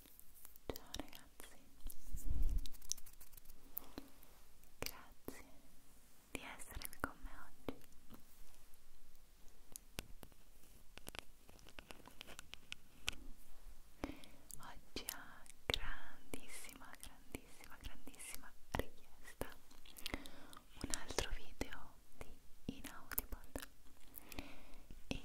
Ciao ragazzi, grazie di essere qui con me oggi. Oggi ha grandissima, grandissima, grandissima richiesta un altro video di Inaudible e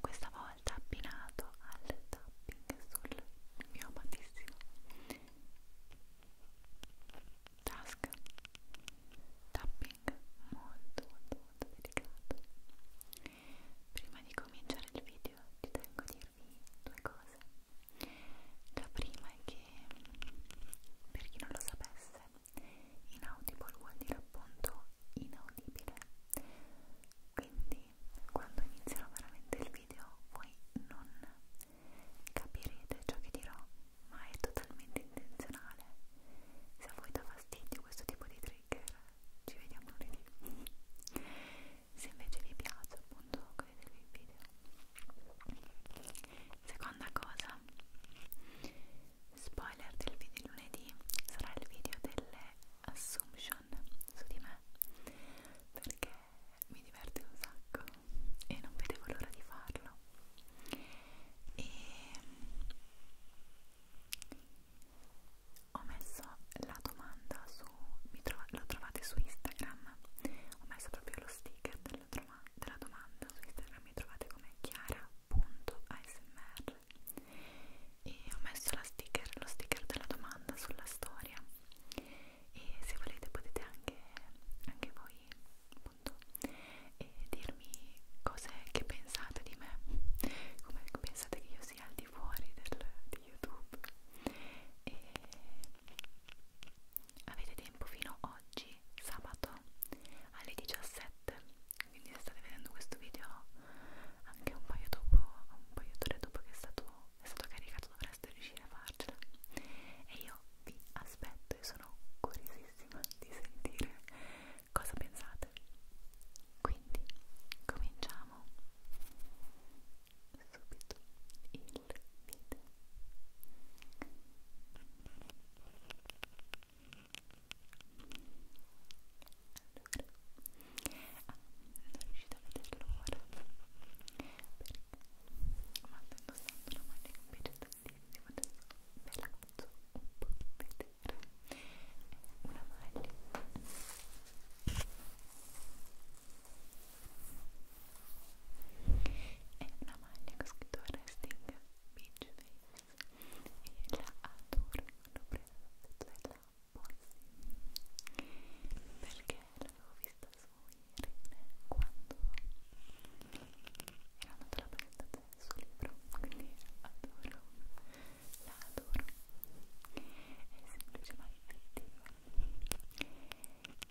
questa volta abbinato al tapping sul mio amatissimo task tapping molto molto molto delicato prima di cominciare il video ci tengo a dirvi due cose la prima è che per chi non lo sapesse Inaudible vuol dire appunto inaudibile. Quindi quando inizierò veramente il video voi non capirete ciò che dirò, ma è totalmente intenzionale. Se a voi dà fastidio questo tipo di trigger, ci vediamo lunedì. Se invece vi piace appunto godetevi il video. Seconda cosa, spoiler del video lunedì sarà il video delle assumption su di me perché mi diverte un sacco e non vedevo l'ora di farlo e mm, ho messo la domanda su tro lo trovate su Instagram ho messo proprio lo sticker della, della domanda su Instagram mi trovate come chiara.asmr e ho messo la sticker, lo sticker della domanda sulla storia e se volete potete anche, anche voi appunto e eh, dirmi cose che pensate di me come pensate che io sia al di fuori del, di YouTube e avete tempo fino oggi sabato alle 17 quindi se state vedendo questo video anche un paio dopo un paio d'ore dopo che è stato, è stato caricato dovreste riuscire a farcela e io vi aspetto e sono curiosissima di sentire cosa pensate quindi cominciamo subito il video Ciao ah, non riuscite a vederlo ora perché ma sto indossando una maglia che mi piace tantissimo adesso ve la faccio un po' vedere è una maglia è una maglia che ho scritto Resting Beach Face e la adoro, l'ho presa dalla Bossi perché l'avevo vista su Irene quando era andata la presentazione del suo libro quindi adoro, la adoro è semplice ma effettiva e non vedo l'ora di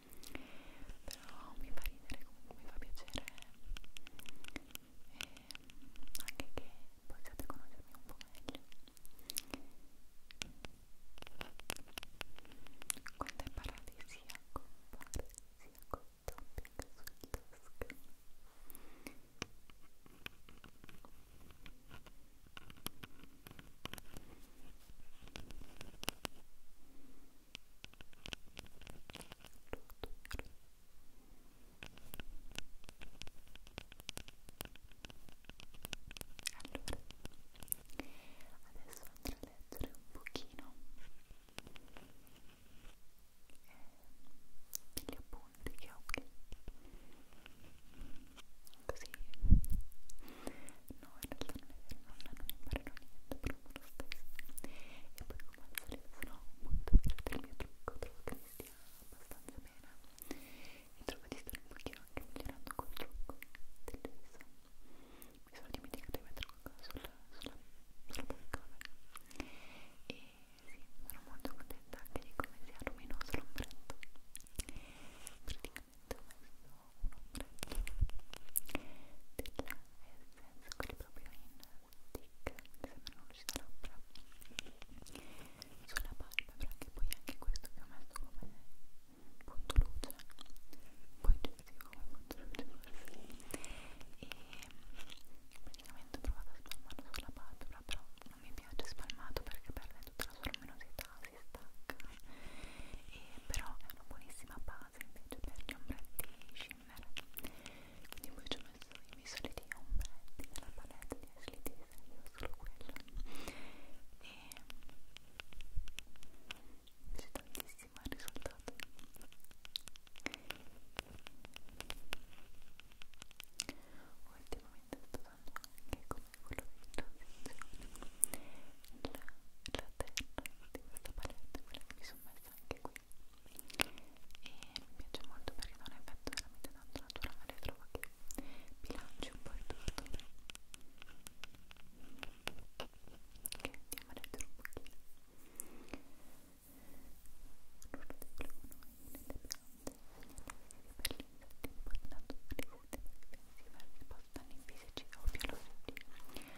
però mi fa ridere comunque, mi fa piacere e ehm, anche che possiate conoscermi un po' meglio quando hai parlato di sia compare sia con topping sul task adesso andrò a leggere un pochino eh, gli appunti che ho qui così no in realtà non è vero non, non imparerò niente però lo stesso e poi come al solito sono molto fiera del mio trucco, trovo che mi stia abbastanza bene e trovo di stare un pochino anche migliorando col trucco del gesso mi sono dimenticata di mettere qualcosa sulla, sulla, sulla polcone e sì, sono molto contenta anche di come sia luminoso l'ombretto praticamente ho messo un ombretto della nel senso quelli proprio in stick che sembrano lucida labbra sulla palpebra che poi anche questo che ho messo come punto luce poi gestivo come punto luce forse e praticamente ho provato a spalmarlo sulla palpebra però non mi piace spalmato perché perde tutta la sua luminosità si stacca e però è una buonissima base invece per gli ombretti shimmer quindi poi ci ho messo i miei soliti ombretti della palette di Ashley Tisdale solo quello e mi piace tantissimo il risultato ultimamente sto usando anche come quello di transizione la, la terra di questa palette quella che mi sono messa anche qui e mi piace molto perché dà un effetto veramente tanto naturale trovo che bilanci un po' il tutto ok, andiamo a leggere un pochino l'oro dei flavonoidi nelle piante per l'insetto importante per il sistema difensivo e risposta all'infisici o biologici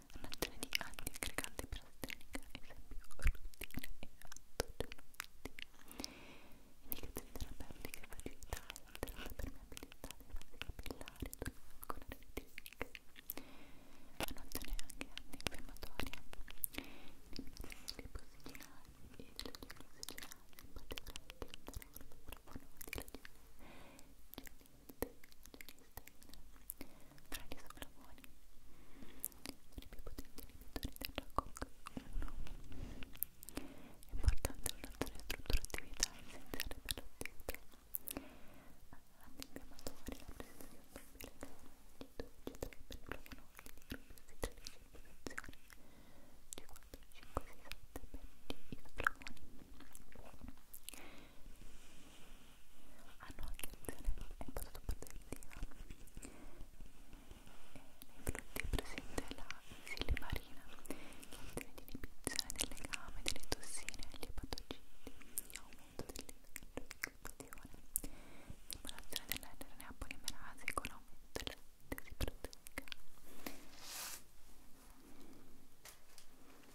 un'azione di antiaggregante per astranica, esempio rutina e antogenotina indicazioni terapeutiche, fragilità e alterata permeabilità dei vasi capillari ancora retiniche un'azione anche antinfiammatoria eliminazione dei posiginali e delle genesi genasi in particolare che interrogano per buono di ragione tra gli soplavoli i più potenti inibitori della COC 1 è importante un'azione strutturatività essenziale per l'attività antinfiammatoria, la presenza di un doppio legame di 12 per flavonoidi di gruppi ossigenati in posizione di 4, 5, 6, 7 per gli isoflavoni hanno ah, anche un'azione molto protettiva nei frutti è presente la silimarina che contiene l'inibizione del legame, delle tossine e dei patogeni aumento dell'intossicazione stimolazione dell'RNA polimerasi con aumento della sintesi proteica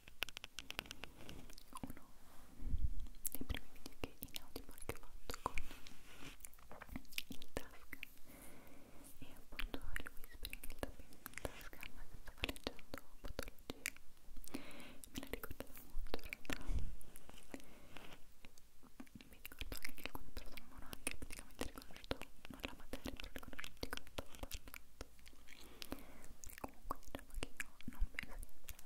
uno dei primi video che in audio che ho fatto con il task e appunto il whispering, il tapping in tasca ma che stavo leggendo patologia me la ricordavo molto in realtà mi ricordo anche che alcune persone non hanno anche praticamente riconosciuto non la materia però riconosciuto di cosa stavo parlando perché comunque diciamo che io non penso di essere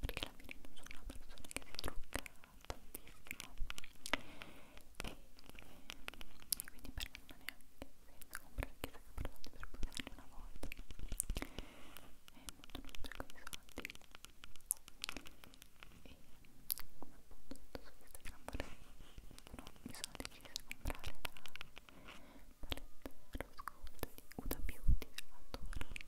perché alla fine non sono una persona che si trucca tantissimo e, e quindi per me non ha neanche senso comprare chissà che prodotti per usarli una volta e non sono un sacco di soldi e come appunto detto su Instagram vorrei no, mi sono decisa a comprare la palette rose gold di Huda Beauty, la adoro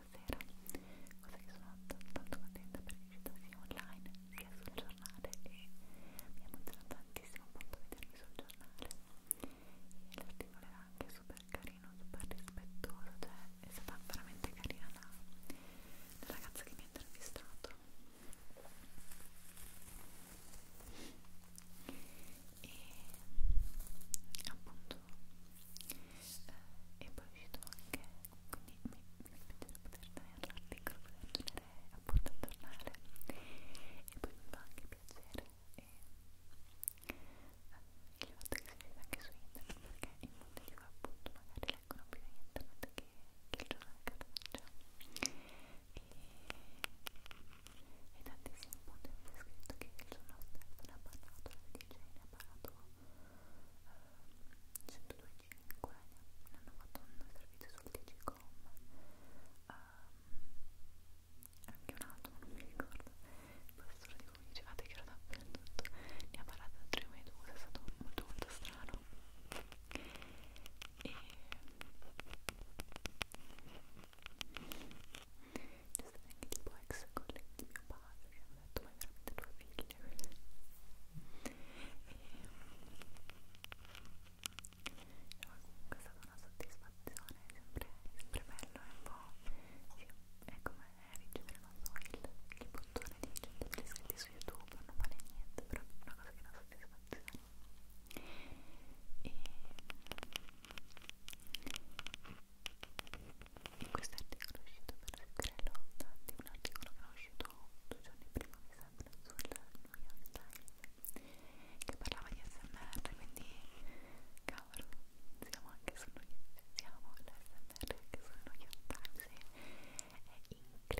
la sera cosa che sono tanto contenta perché è stata sia online sia sul giornale e mi ha emozionato tantissimo appunto vedermi sul giornale e l'articolo era anche super carino, super rispettoso cioè è stata veramente carina la, la ragazza che mi ha intervistato e appunto eh, e poi è uscito anche quindi mi, mi piacerebbe poter dare all'articolo poter leggere appunto al giornale e poi mi fa anche piacere e, eh, il fatto che si vede anche su internet perché in molti di voi appunto magari leggono più internet che, che il giornale cartaceo e, e tantissimi punti hanno scritto che il giorno stesso ne ha parlato la DJ ne ha parlato 102.5 ne hanno fatto un servizio sul Digicom um, anche un altro, non mi ricordo il professore di come dicevate che ero dappertutto ne ha parlato da 3 minuti è stato molto molto strano e c'è stato anche tipo ex collega di mio padre che mi ha detto ma è veramente tua figlia e no, comunque è stata una soddisfazione sempre, sempre bello è un po' sì, è come ricevere non so il, il bottone di 100 iscritti su youtube non vale niente però è una cosa che dà soddisfazione e in questo articolo è uscito per seguire l'onda di un articolo che è uscito due giorni prima mi sembra sul New York Times che parlava di SMR quindi cavolo siamo anche su New York siamo l'SMR anche su New York Times è incredibile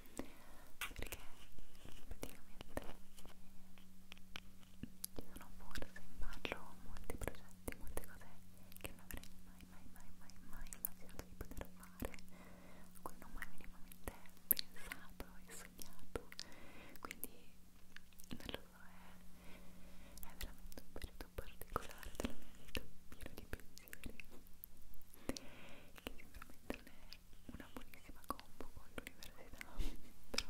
perché praticamente ci sono forse in ballo molti progetti, molte cose che non avrei mai, mai, mai, mai, mai immaginato di poter fare a cui non ho mai minimamente pensato e sognato quindi non lo so, è, è veramente un periodo particolare della mia vita pieno di pensieri sicuramente non è una buonissima combo con l'università, però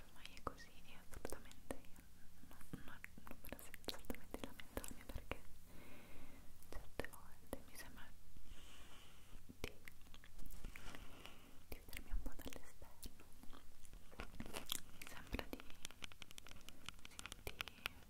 ormai è così e assolutamente io non, non, non me la sento assolutamente lamentarmi perché certe volte mi sembra di, di vedermi un po' dall'esterno mi sembra di sentire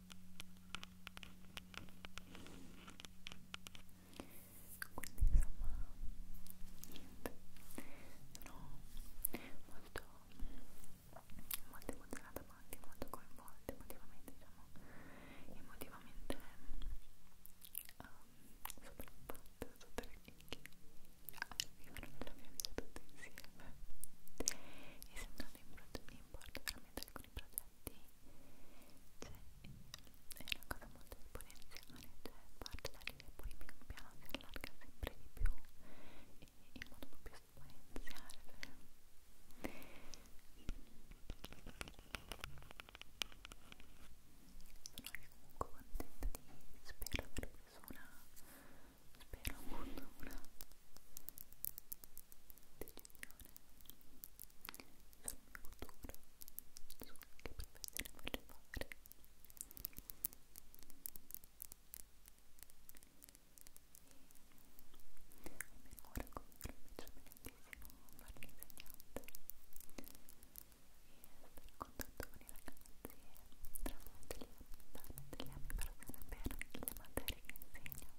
niente sono molto molto emozionata ma anche molto coinvolta emotivamente diciamo emotivamente um, sopraffatti sotto le chicche arrivano nella mia vita tutte insieme e sembra sono in, in porto veramente alcuni progetti cioè, è una cosa molto esponenziale cioè parte da lì e poi pian piano si allarga sempre di più e in modo proprio esponenziale sono comunque contenta di spero aver preso una spero molto una decisione sul mio futuro su che professione voglio fare e almeno ora come mi piace benissimo fare l'insegnante e stare in contatto con i ragazzi tramite gli, tramite gli anni per sapere le materie che insegno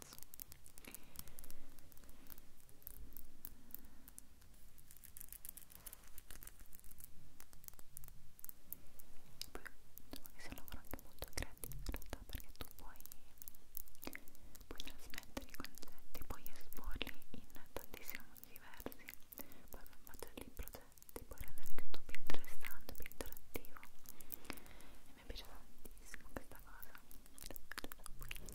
cazzo poi insomma che sia un lavoro anche molto creativo in realtà perché tu puoi puoi trasmettere i concetti puoi esporli in tantissimi modi diversi puoi fare dei progetti puoi rendere tutto più interessante più interattivo e mi piace tantissimo questa cosa